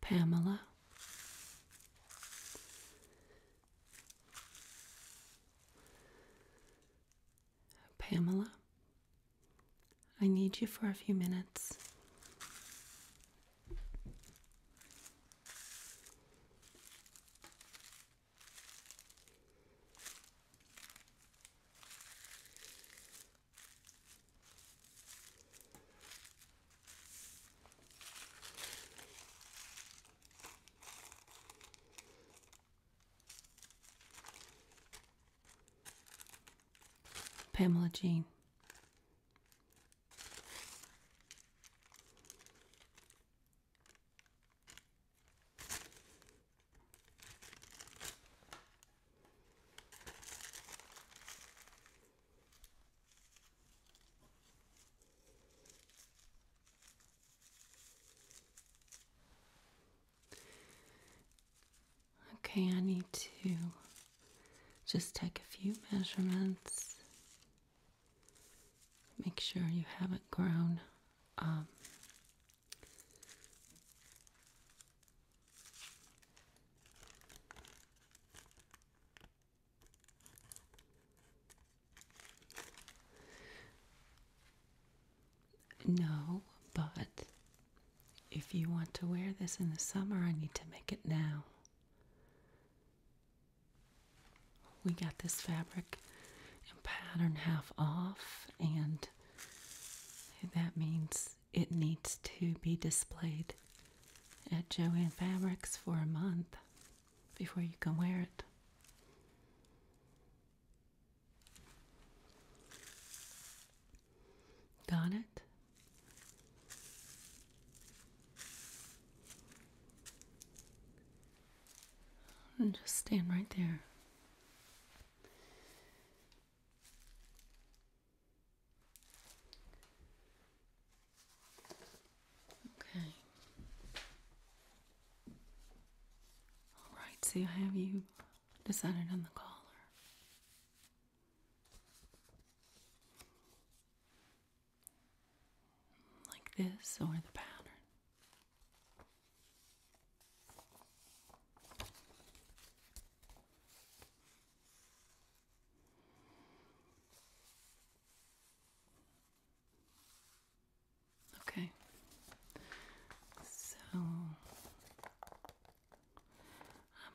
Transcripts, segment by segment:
Pamela. Pamela, I need you for a few minutes. Pamela Jean. Okay, I need to just take a few measurements. Make sure you haven't grown um, no, but if you want to wear this in the summer, I need to make it now. We got this fabric and pattern half off, and that means it needs to be displayed at Joann Fabrics for a month before you can wear it. Got it? And just stand right there. Okay. All right, so have you decided on the collar? Like this or the pattern? Okay. So I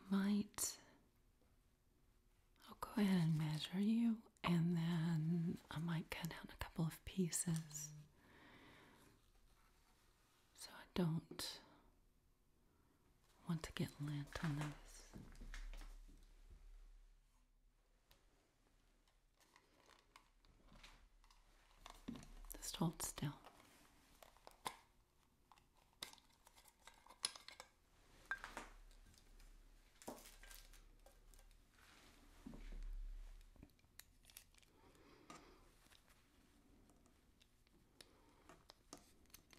might I'll go ahead and measure you and then I might cut out a couple of pieces so I don't want to get lint on this? Just hold still.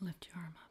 You lift your arm up.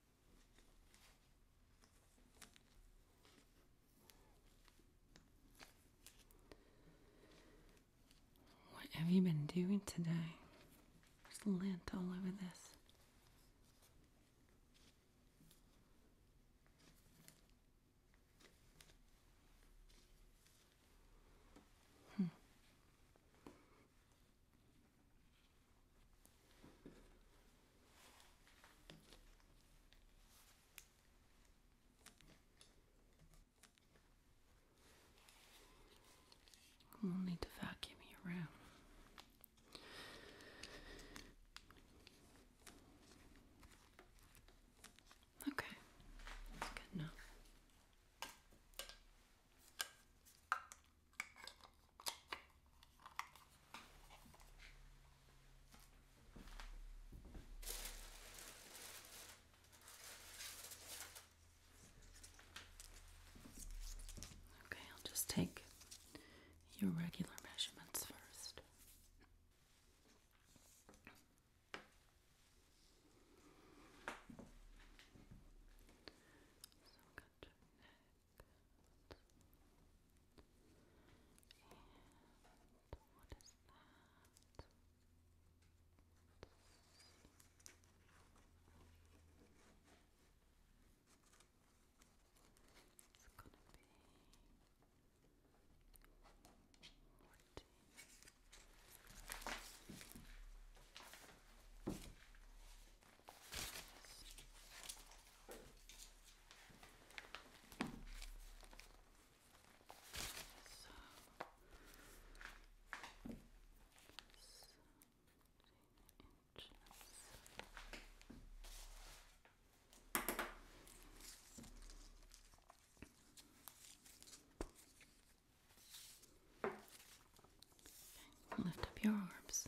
What have you been doing today? There's lint all over this. Hmm. We'll need to vacuum you around. Okay, that's good enough. Okay, I'll just take your regular measurements first. And what is that? It's gonna be fourteen. Okay lift up your arms.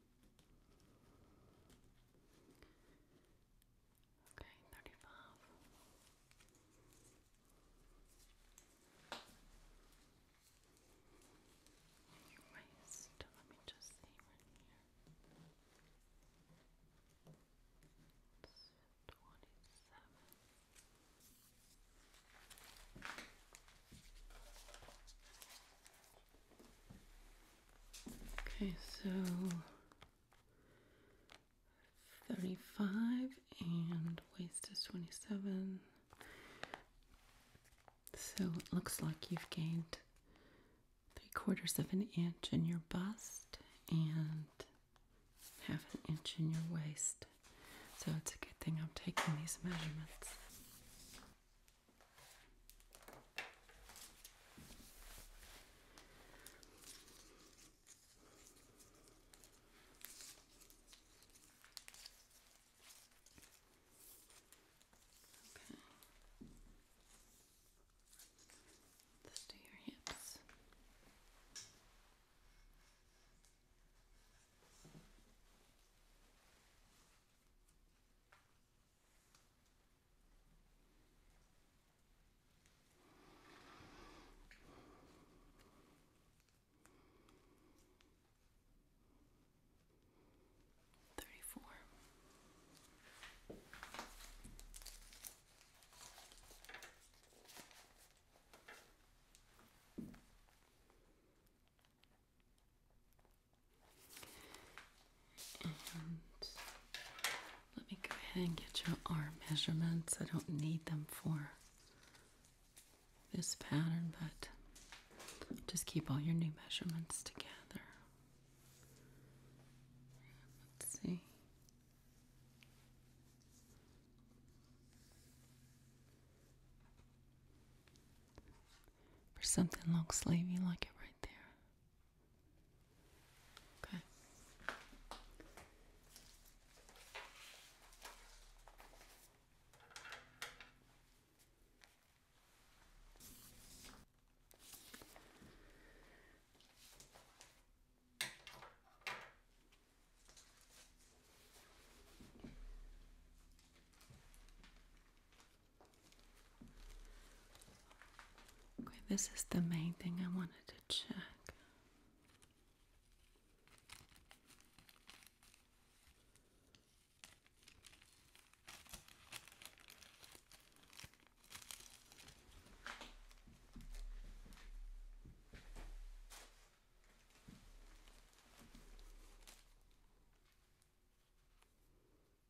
Okay, 35. your waist, let me just see right here. 27. Okay, so 35 and waist is 27. So it looks like you've gained three quarters of an inch in your bust and half an inch in your waist. So it's a good thing I'm taking these measurements. Okay. Let's do your hips. Okay. Thirty-four. And let me go ahead and get your arm measurements. I don't need them for this pattern, but just keep all your new measurements together. Let's see for something long sleevey like it right there. Okay. Okay, this is the main thing I wanted to check.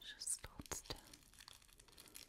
Just hold still. Good.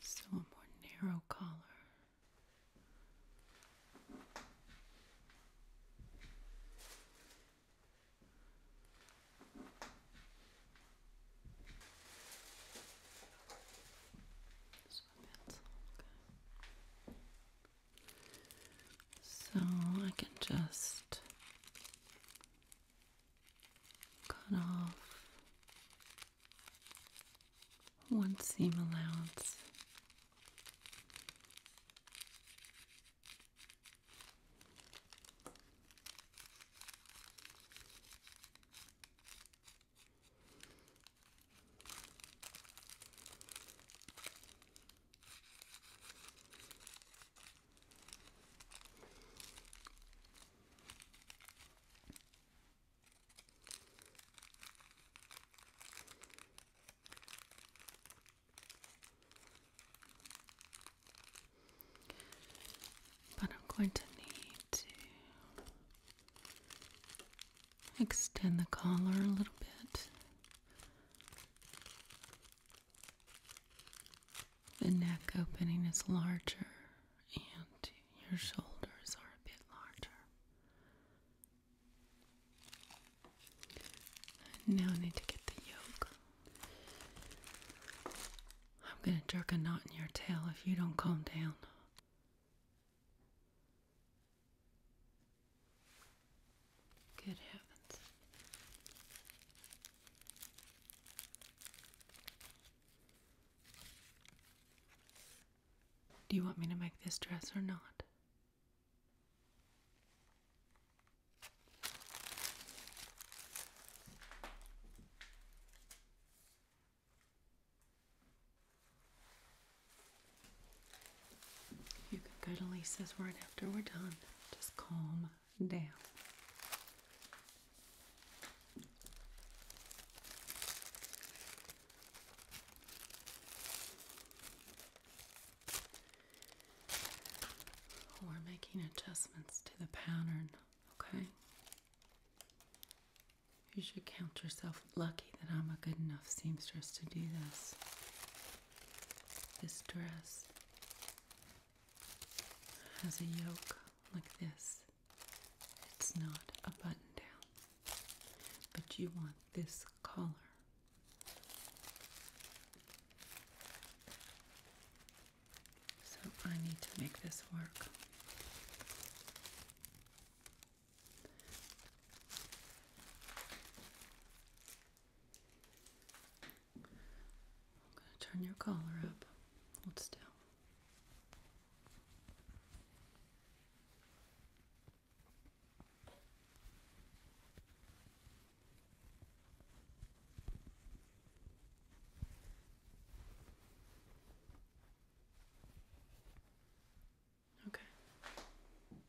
So a more narrow collar. So, okay. so I can just Cut off one seam allowance. But I'm going to need to extend the collar a little bit the neck opening is larger and your shoulders are a bit larger. Now I need to get the yoke. I'm going to jerk a knot in your tail if you don't calm down. Good heavens. Do you want me to make this dress or not? You can go to Lisa's right after we're done. Just calm down. We're making adjustments to the pattern, okay? You should count yourself lucky that I'm a good enough seamstress to do this. This dress has a yoke like this. It's not a button down, but you want this collar. So I need to make this work. I'm going to turn your collar up. Hold still. Okay.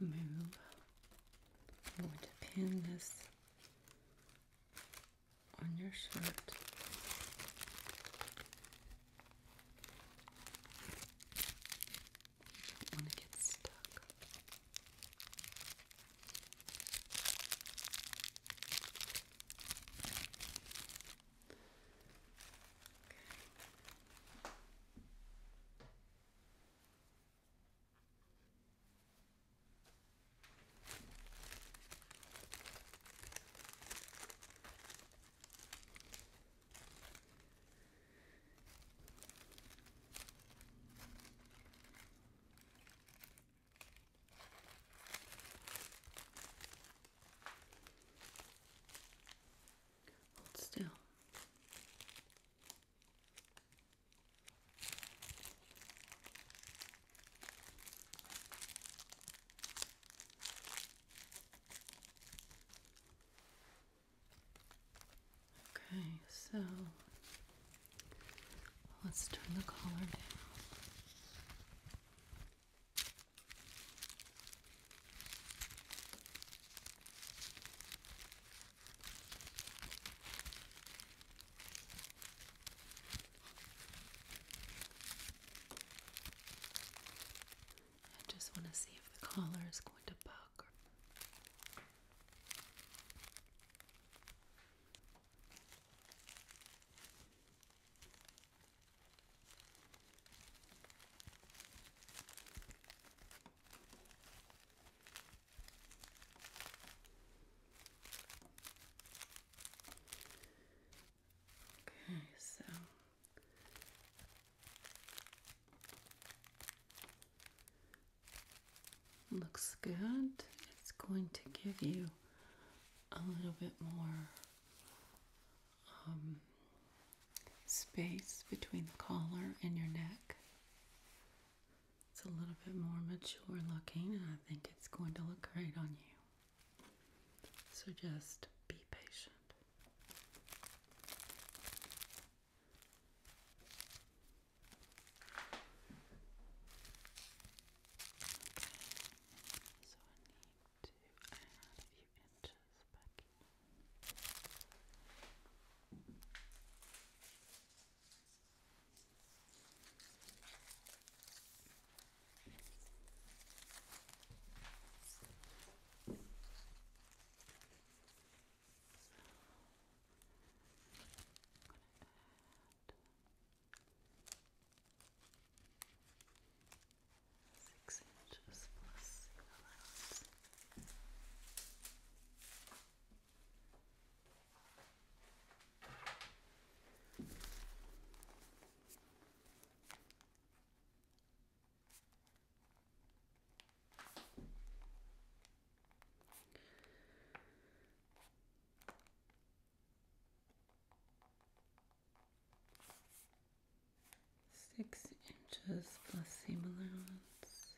move. I'm going pin this on your shirt. You don't want to get stuck. Hold still. Okay, so let's turn the color down. I just want to see if the collar is going to buck. Okay, so looks good. It's going to give you a little bit more um, space between the collar and your neck. It's a little bit more mature looking, and I think it's going to look great on you. So just be patient few inches back in. I'm going to add six inches plus the allowance. Okay six inches plus seam allowance.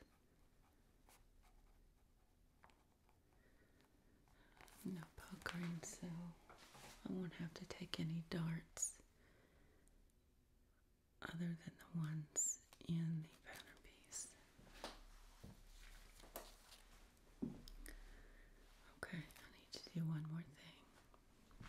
No puckering, so I won't have to take any darts other than the ones in the pattern piece. Okay, I need to do one more thing.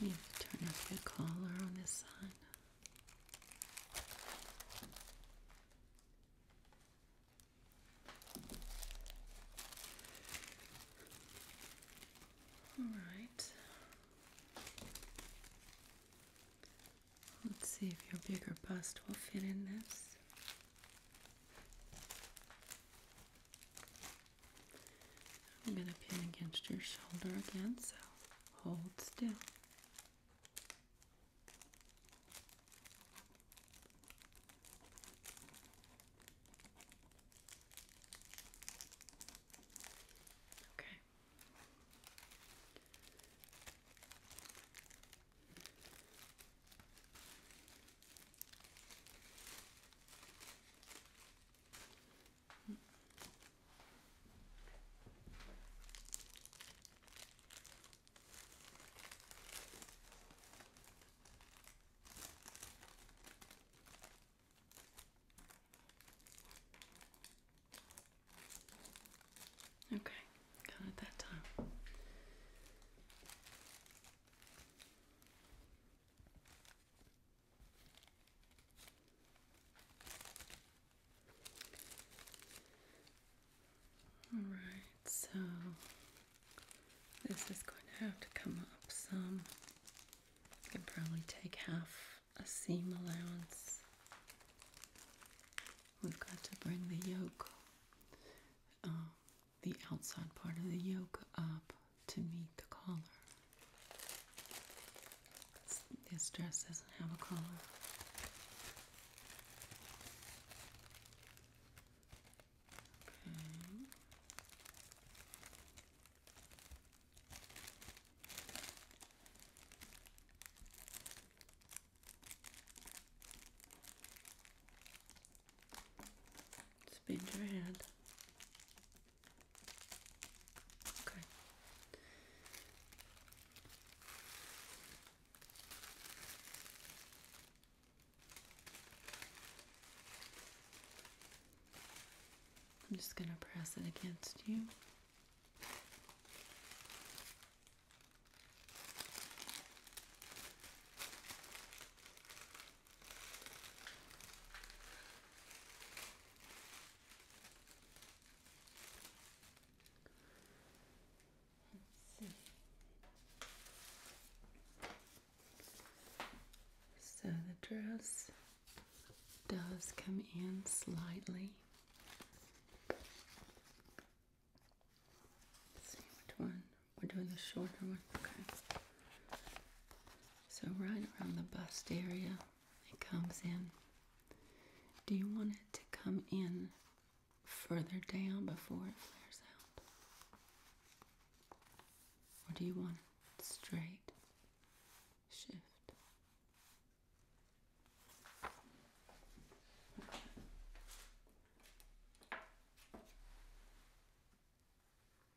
You need to turn off the collar on this side. All right. Let's see if your bigger bust will fit in this. I'm going to pin against your shoulder again, so hold still. Okay. Okay, got it that time. Alright, so this is going to have to come up some. I can probably take half a seam allowance. We've got to bring the yoke um, the outside part of the yoke up to meet the collar. This dress doesn't have a collar. Spin your head. Okay. I'm just going to press it against you. Let's So the dress does come in slightly. which one we're doing the shorter one. Okay. So right around the bust area, it comes in. Do you want it to come in further down before it flares out? Or do you want straight? Shift.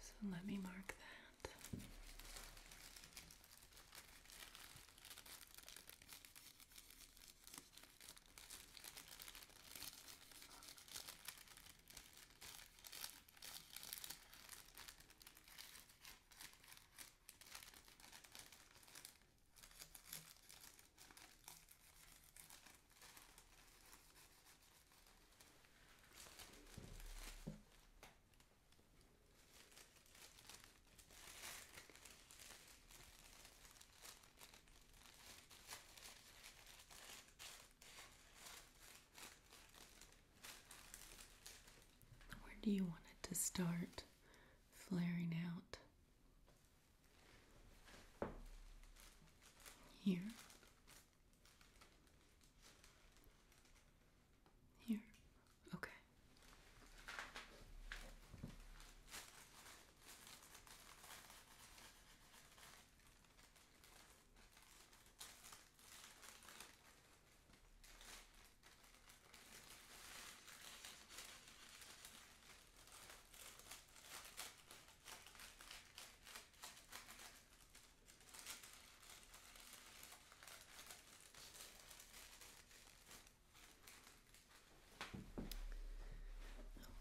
So let me mark that. Where do you want it to start flaring out? Here, here. Okay.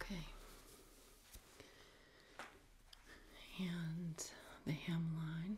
Okay. And the hemline.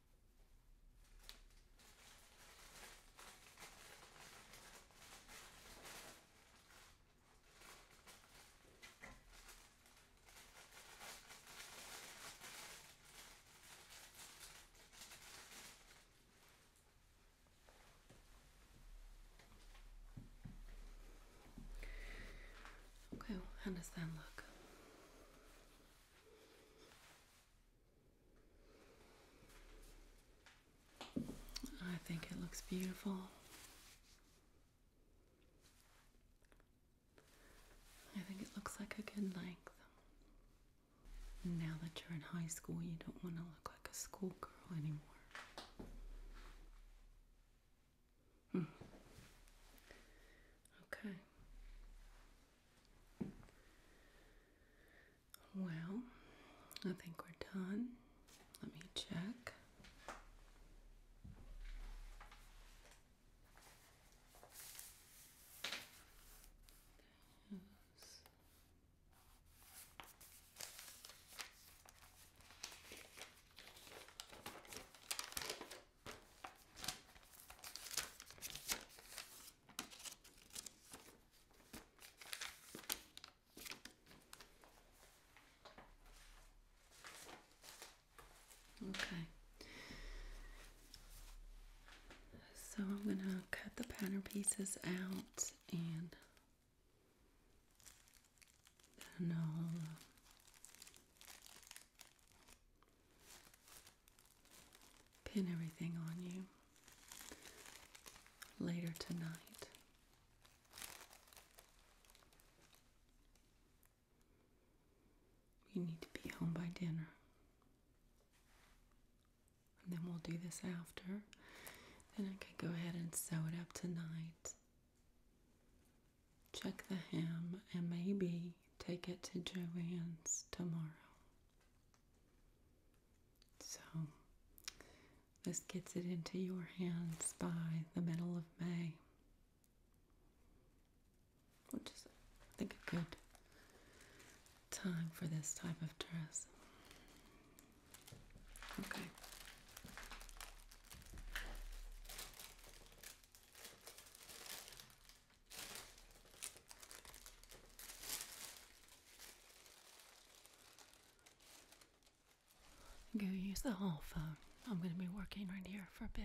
Okay, well, how does that look? I think it looks beautiful. I think it looks like a good length. Now that you're in high school, you don't want to look like a schoolgirl anymore. Hmm. Okay. Well, I think we're done. Let me check. Okay. So I'm going to cut the pattern pieces out and then I'll uh, pin everything on you later tonight. We need to be home by dinner. And then we'll do this after. Then I can go ahead and sew it up tonight. Check the hem and maybe take it to Joanne's tomorrow. So, this gets it into your hands by the middle of May, which is, I think, a good time for this type of dress. Okay. I'm use the hall phone. I'm going to be working right here for a bit.